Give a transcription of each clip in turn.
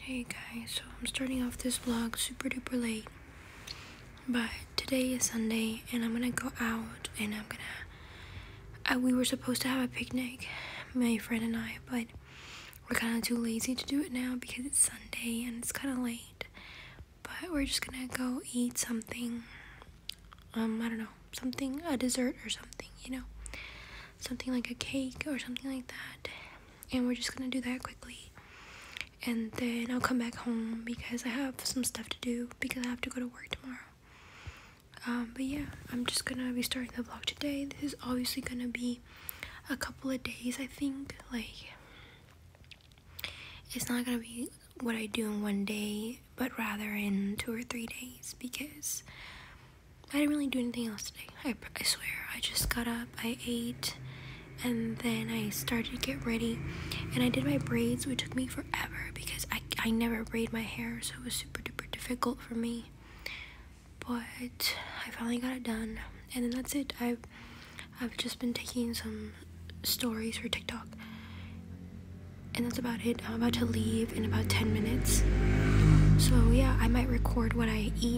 Hey guys, so I'm starting off this vlog super duper late, but today is Sunday and I'm gonna go out and I'm gonna, we were supposed to have a picnic, my friend and I, but we're kind of too lazy to do it now because it's Sunday and it's kind of late, but we're just gonna go eat something, um, I don't know, something, a dessert or something, you know, something like a cake or something like that, and we're just gonna do that quickly and then I'll come back home because I have some stuff to do because I have to go to work tomorrow um, but yeah I'm just gonna be starting the vlog today this is obviously gonna be a couple of days I think like it's not gonna be what I do in one day but rather in two or three days because I didn't really do anything else today. I, I swear. I just got up, I ate, and then I started to get ready. And I did my braids, which took me forever because I, I never braid my hair, so it was super duper difficult for me. But I finally got it done. And then that's it. I've, I've just been taking some stories for TikTok. And that's about it. I'm about to leave in about 10 minutes. So yeah, I might record what I eat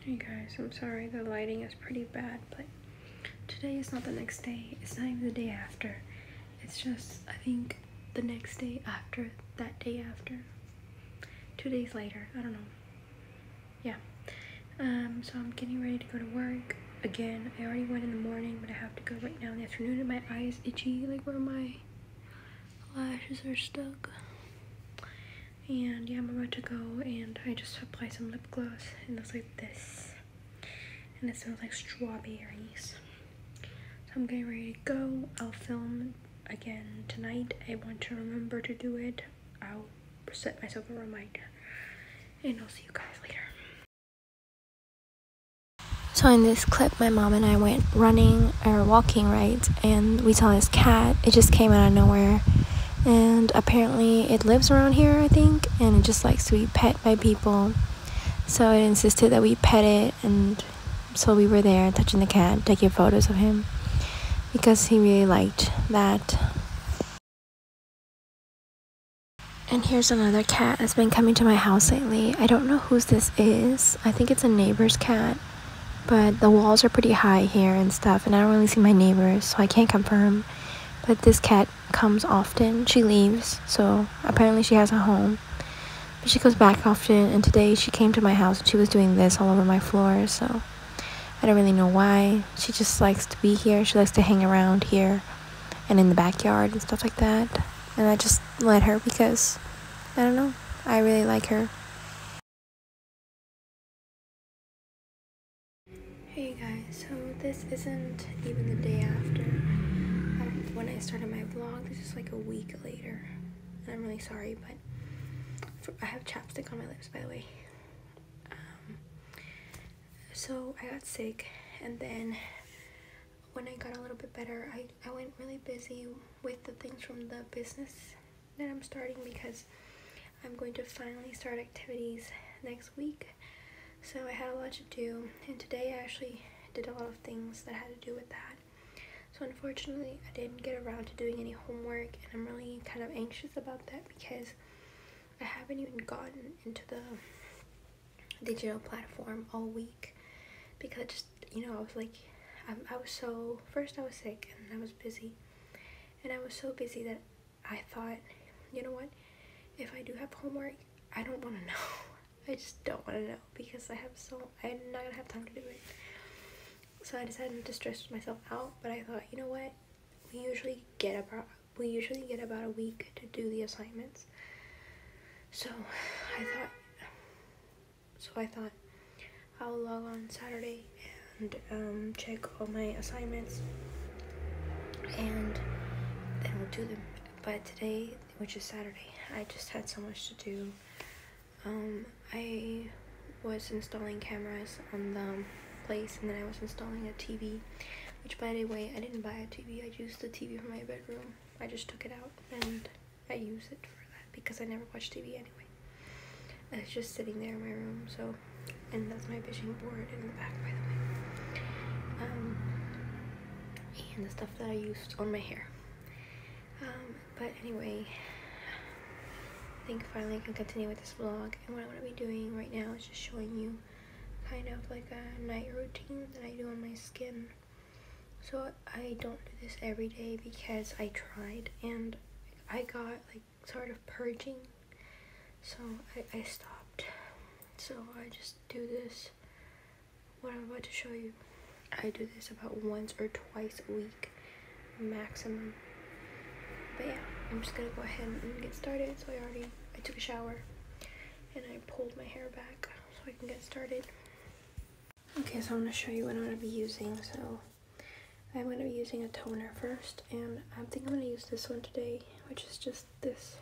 Hey guys, I'm sorry the lighting is pretty bad, but today is not the next day. It's not even the day after. It's just, I think, the next day after that day after. Two days later, I don't know. Yeah. Um, so I'm getting ready to go to work again. I already went in the morning, but I have to go right now in the afternoon and my eye is itchy, like where my lashes are stuck. And yeah, I'm about to go and I just apply some lip gloss. and it's like this. And it smells like strawberries. So I'm getting ready to go. I'll film again tonight. I want to remember to do it. I'll set myself a reminder. And I'll see you guys later. So in this clip, my mom and I went running or walking right, and we saw this cat. It just came out of nowhere, and apparently it lives around here, I think, and it just likes to be pet by people. So it insisted that we pet it, and so we were there touching the cat, taking photos of him, because he really liked that. And here's another cat that's been coming to my house lately. I don't know whose this is. I think it's a neighbor's cat but the walls are pretty high here and stuff and I don't really see my neighbors so I can't confirm but this cat comes often she leaves so apparently she has a home but she comes back often and today she came to my house and she was doing this all over my floor so I don't really know why she just likes to be here she likes to hang around here and in the backyard and stuff like that and I just let her because I don't know I really like her Hey guys, so this isn't even the day after um, when I started my vlog. This is like a week later, and I'm really sorry, but I have chapstick on my lips, by the way. Um, so I got sick, and then when I got a little bit better, I, I went really busy with the things from the business that I'm starting because I'm going to finally start activities next week. So I had a lot to do, and today I actually did a lot of things that had to do with that. So unfortunately, I didn't get around to doing any homework, and I'm really kind of anxious about that because I haven't even gotten into the digital platform all week because just you know I was like I, I was so first I was sick and I was busy and I was so busy that I thought, you know what? If I do have homework, I don't want to know. I just don't want to know because I have so I'm not gonna have time to do it. So I decided to stress myself out, but I thought, you know what? We usually get about we usually get about a week to do the assignments. So I thought so I thought I'll log on Saturday and um, check all my assignments and then we'll do them. But today, which is Saturday, I just had so much to do. Um, I was installing cameras on the place and then I was installing a TV which by the way I didn't buy a TV I used the TV from my bedroom I just took it out and I use it for that because I never watch TV anyway. And it's just sitting there in my room, so and that's my vision board in the back by the way. Um, and the stuff that I used on my hair. Um, but anyway, I think finally I can continue with this vlog. And what i want to be doing right now is just showing you kind of like a night routine that I do on my skin. So I don't do this every day because I tried and I got like sort of purging, so I, I stopped. So I just do this, what I'm about to show you. I do this about once or twice a week, maximum. But yeah, I'm just gonna go ahead and get started. So I already, I took a shower and I pulled my hair back so I can get started. Okay, so I'm going to show you what I'm going to be using. So I'm going to be using a toner first, and I think I'm going to use this one today, which is just this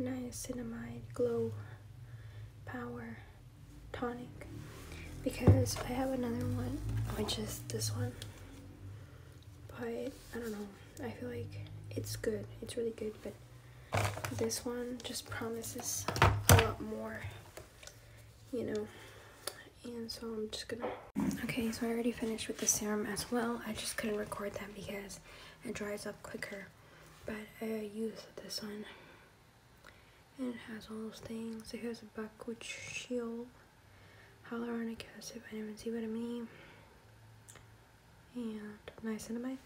niacinamide glow power tonic because I have another one which is this one but I don't know I feel like it's good it's really good but this one just promises a lot more you know and so I'm just gonna okay so I already finished with the serum as well I just couldn't record that because it dries up quicker but I used this one and it has all those things it has a backward shield hyaluronic acid vitamin what vitamin E and niacinamide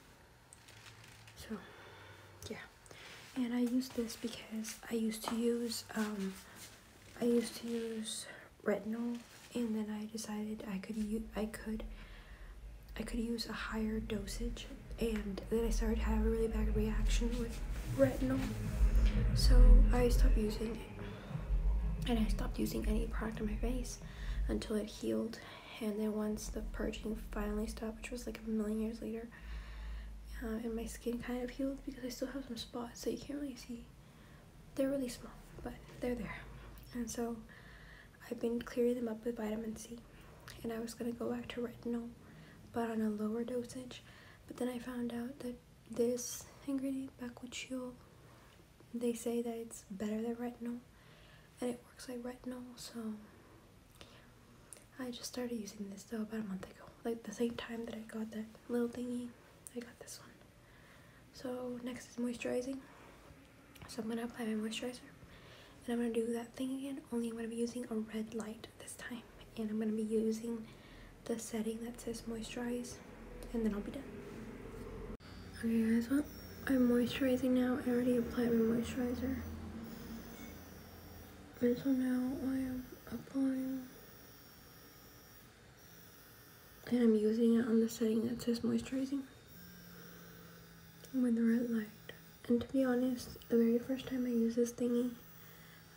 so yeah and I used this because I used to use um, I used to use retinol and then I decided I could use I could I could use a higher dosage and then I started having really bad reaction with retinol so I stopped using it and I stopped using any product on my face until it healed and then once the purging finally stopped which was like a million years later uh, and my skin kind of healed because I still have some spots so you can't really see. They're really small, but they're there. And so I've been clearing them up with vitamin C, and I was gonna go back to retinol, but on a lower dosage. But then I found out that this ingredient, bakuchiol, they say that it's better than retinol, and it works like retinol, so I just started using this though about a month ago. Like the same time that I got that little thingy, I got this one. So next is moisturizing. So I'm gonna apply my moisturizer. And I'm gonna do that thing again, only I'm gonna be using a red light this time. And I'm gonna be using the setting that says moisturize. And then I'll be done. Okay guys, well, I'm moisturizing now. I already applied my moisturizer. And so now I am and I'm using it on the setting that says moisturizing with the red light and to be honest the very first time I used this thingy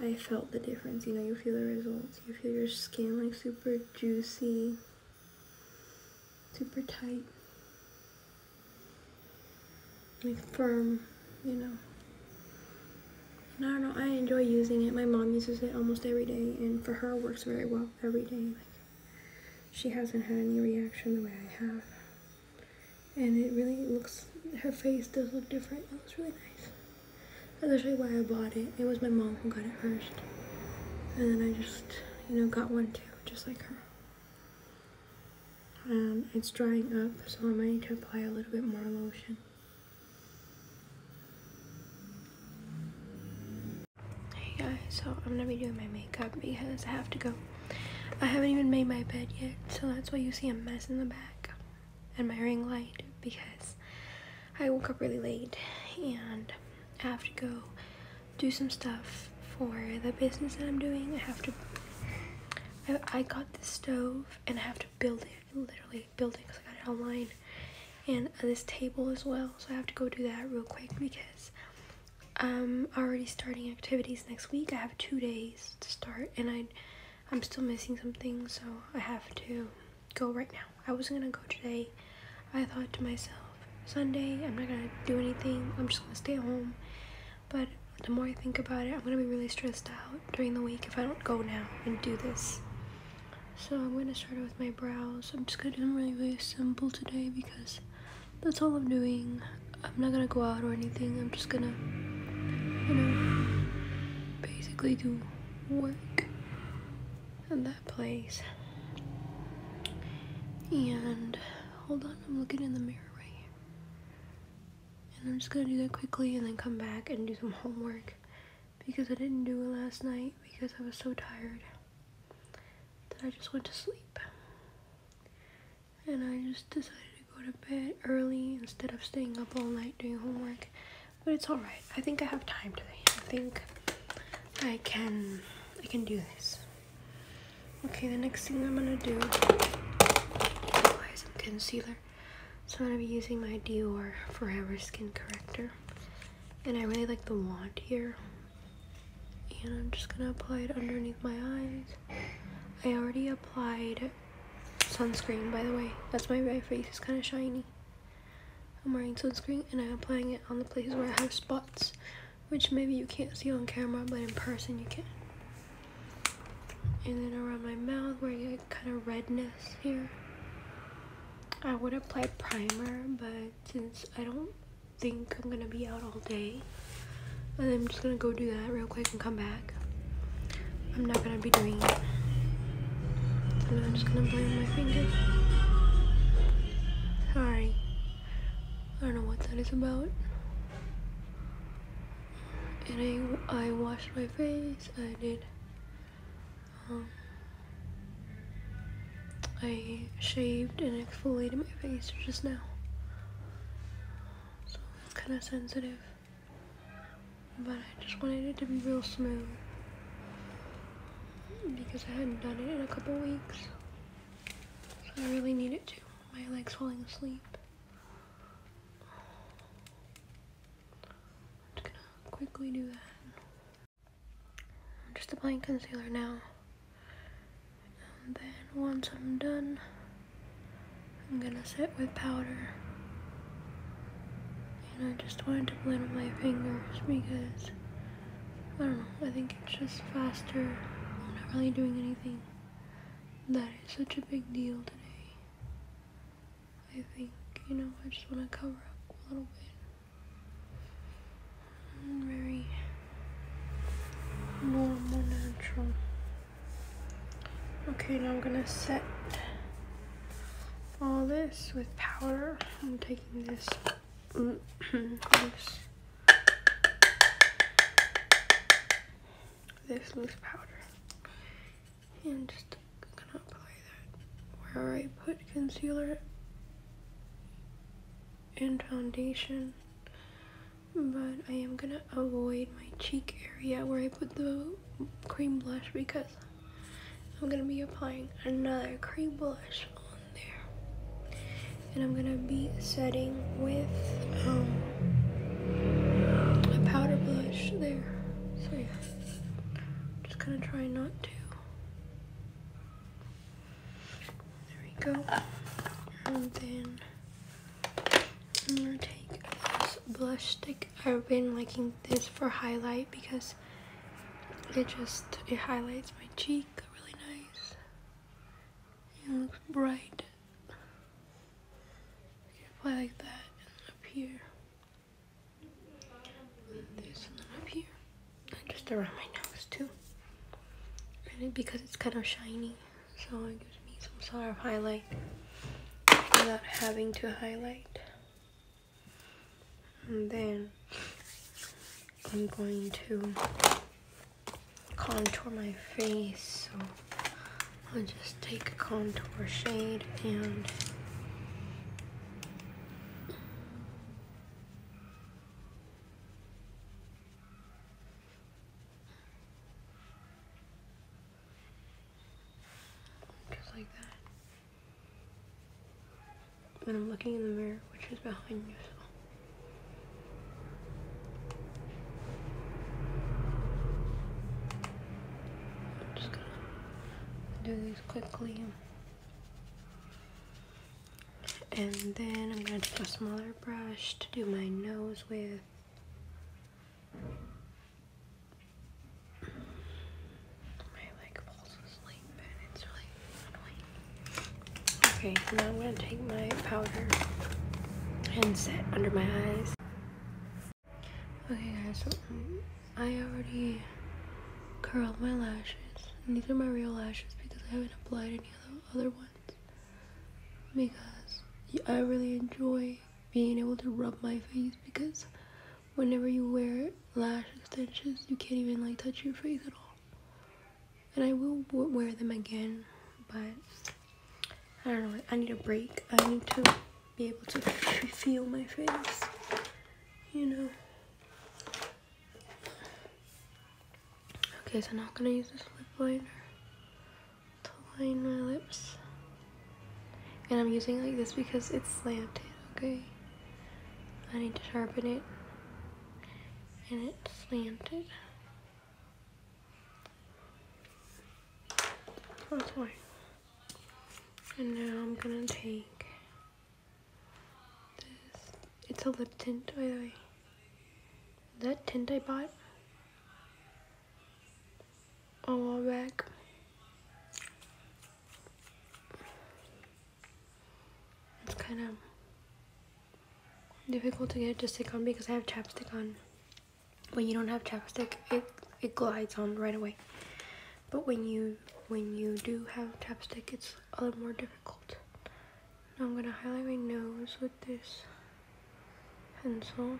I felt the difference you know you feel the results you feel your skin like super juicy super tight like firm, you know. I don't know, I enjoy using it. My mom uses it almost every day, and for her, it works very well every day. Like, she hasn't had any reaction the way I have. And it really looks, her face does look different. It looks really nice. That's actually why I bought it. It was my mom who got it first. And then I just, you know, got one too, just like her. Um, it's drying up, so I might need to apply a little bit more lotion. Hey guys, so I'm gonna be doing my makeup because I have to go. I haven't even made my bed yet, so that's why you see a mess in the back and my ring light because I woke up really late and have to go do some stuff for the business that I'm doing. I have to I, got the stove and I have to build it. Literally build it because I got it online. And this table as well. So I have to go do that real quick because I'm already starting activities next week. I have two days to start and I, am still missing something. So I have to go right now. I wasn't going to go today. I thought to myself, Sunday, I'm not going to do anything. I'm just going to stay home but the more I think about it, I'm gonna be really stressed out during the week if I don't go now and do this. So I'm gonna start with my brows. I'm just gonna do them really, really simple today because that's all I'm doing. I'm not gonna go out or anything. I'm just gonna, you know, basically do work in that place. And hold on, I'm looking in the mirror right here. And I'm just gonna do that quickly and then come back and do some homework because I didn't do it last night because I was so tired that I just went to sleep. And I just decided to go to bed early instead of staying up all night doing homework. But it's alright. I think I have time today. I think I can I can do this. Okay, the next thing I'm gonna do is concealer so I'm going to be using my Dior Forever Skin Corrector. And I really like the wand here. And I'm just going to apply it underneath my eyes. I already applied sunscreen, by the way. That's why my face is kind of shiny. I'm wearing sunscreen and I'm applying it on the places where I have spots. Which maybe you can't see on camera, but in person you can and then around my mouth where I get kind of redness here. I would apply primer, but since I don't think I'm gonna be out all day, and I'm just gonna go do that real quick and come back. I'm not gonna be doing it. So I'm just gonna play my fingers. Sorry. I don't know what that is about and I, I washed my face, I did, um, I shaved and exfoliated my face just now, so it's kind of sensitive, but I just wanted it to be real smooth, because I hadn't done it in a couple weeks, so I really need it to, my leg's falling asleep. I'm just gonna quickly do that. just applying concealer now. And then once I'm done, I'm gonna set with powder. And I just wanted to blend with my fingers because, I don't know, I think it's just faster. I'm not really doing anything that is such a big deal today. I think, you know, I just want to cover up a little bit. very more, more natural. Okay, now I'm gonna set all this with powder. I'm taking this this loose powder and just gonna apply that where I put concealer and foundation but I am gonna avoid my cheek area where I put the cream blush because I'm gonna be applying another cream blush on there and I'm gonna be setting with um, a powder blush there. So yeah, just gonna try not to. There we go. And then I'm gonna take this blush stick. I've been liking this for highlight because it just, it highlights my cheek really nice. It looks bright. We can apply like that and then up here. And this and up here. And just around my nose too. And because it's kind of shiny, so it gives me some sort of highlight without having to highlight. And then I'm going to contour my face, so I'll just take a contour shade and just like that. And I'm looking in the mirror, which is behind you, just gonna do these quickly. And then I'm gonna take a smaller brush to do my nose with. Okay, now I'm going to take my powder and set under my eyes. Okay guys, um, I already curled my lashes. And these are my real lashes because I haven't applied any other, other ones. Because I really enjoy being able to rub my face because whenever you wear lash extensions, you can't even like touch your face at all. And I will wear them again, but I don't know. I need a break. I need to be able to feel my face. You know. Okay, so now I'm gonna use this lip liner to line my lips. And I'm using like this because it's slanted, okay? I need to sharpen it. And it's slanted that's oh, why. And now I'm gonna take this. It's a lip tint, by the way. That tint I bought a while back. It's kind of difficult to get it to stick on because I have chapstick on when you don't have chapstick, it, it glides on right away. But when you when you do have chapstick, it's a little more difficult. I'm gonna highlight my nose with this pencil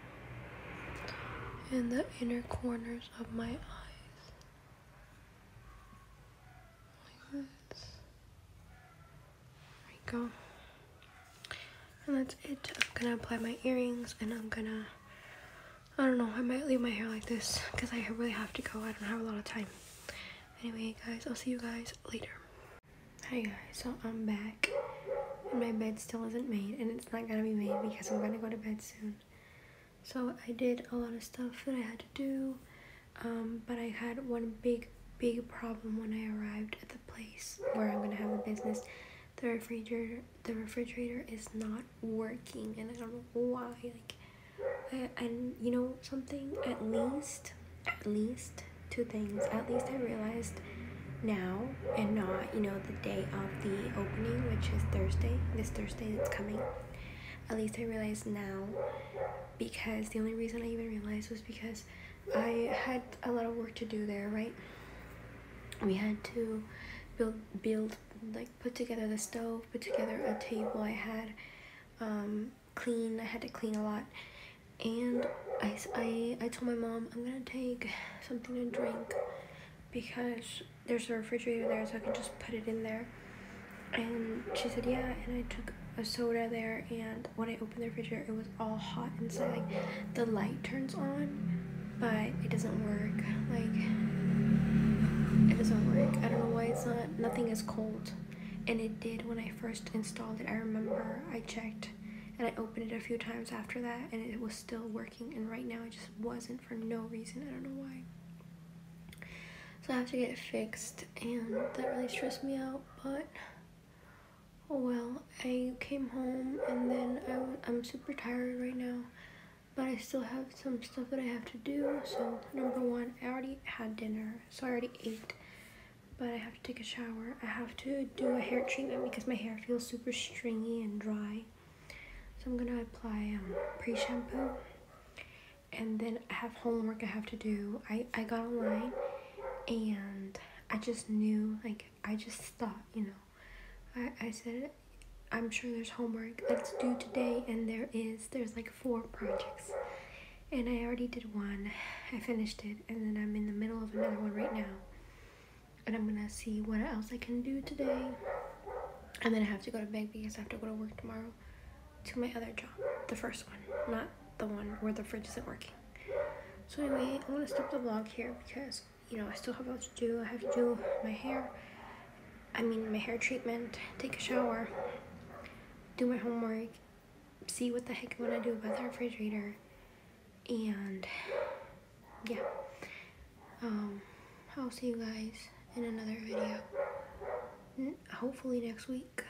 and the inner corners of my eyes. Like this. There you go. And that's it. I'm gonna apply my earrings and I'm gonna, I don't know, I might leave my hair like this because I really have to go. I don't have a lot of time. Anyway, guys, I'll see you guys later. Hi guys, so I'm back and my bed still isn't made and it's not gonna be made because I'm gonna go to bed soon. So I did a lot of stuff that I had to do, um, but I had one big, big problem when I arrived at the place where I'm gonna have the business the refrigerator the refrigerator is not working and I don't know why like I, and you know something at least at least two things at least I realized now and not you know the day of the opening which is Thursday this Thursday that's coming at least I realized now because the only reason I even realized was because I had a lot of work to do there, right? We had to build, build, like put together the stove, put together a table. I had um, clean. I had to clean a lot, and I, I, I told my mom I'm gonna take something to drink because there's a refrigerator there, so I can just put it in there. And she said yeah, and I took a soda there and when I opened the refrigerator, it was all hot inside. Like the light turns on, but it doesn't work. Like it doesn't work. I don't know why it's not. Nothing is cold, and it did when I first installed it. I remember I checked, and I opened it a few times after that, and it was still working. And right now, it just wasn't for no reason. I don't know why. So I have to get it fixed, and that really stressed me out, but Oh, well, I came home and then I, am super tired right now, but I still have some stuff that I have to do. So, number one, I already had dinner, so I already ate, but I have to take a shower. I have to do a hair treatment because my hair feels super stringy and dry. So, I'm gonna apply um, pre shampoo. And then I have homework I have to do. I, I got online and I just knew like I just thought, you know, I, I said, I'm sure there's homework that's due today, and there is. There's like four projects, and I already did one. I finished it, and then I'm in the middle of another one right now, and I'm gonna see what else I can do today, and then I have to go to bed because I have to go to work tomorrow to my other job, the first one, not the one where the fridge isn't working. So anyway, I'm gonna stop the vlog here because you know I still have a lot to do. I have to do my hair. I mean my hair treatment, take a shower, do my homework, see what the heck I am going to do about the refrigerator, and yeah. Um, I'll see you guys in another video. Hopefully next week.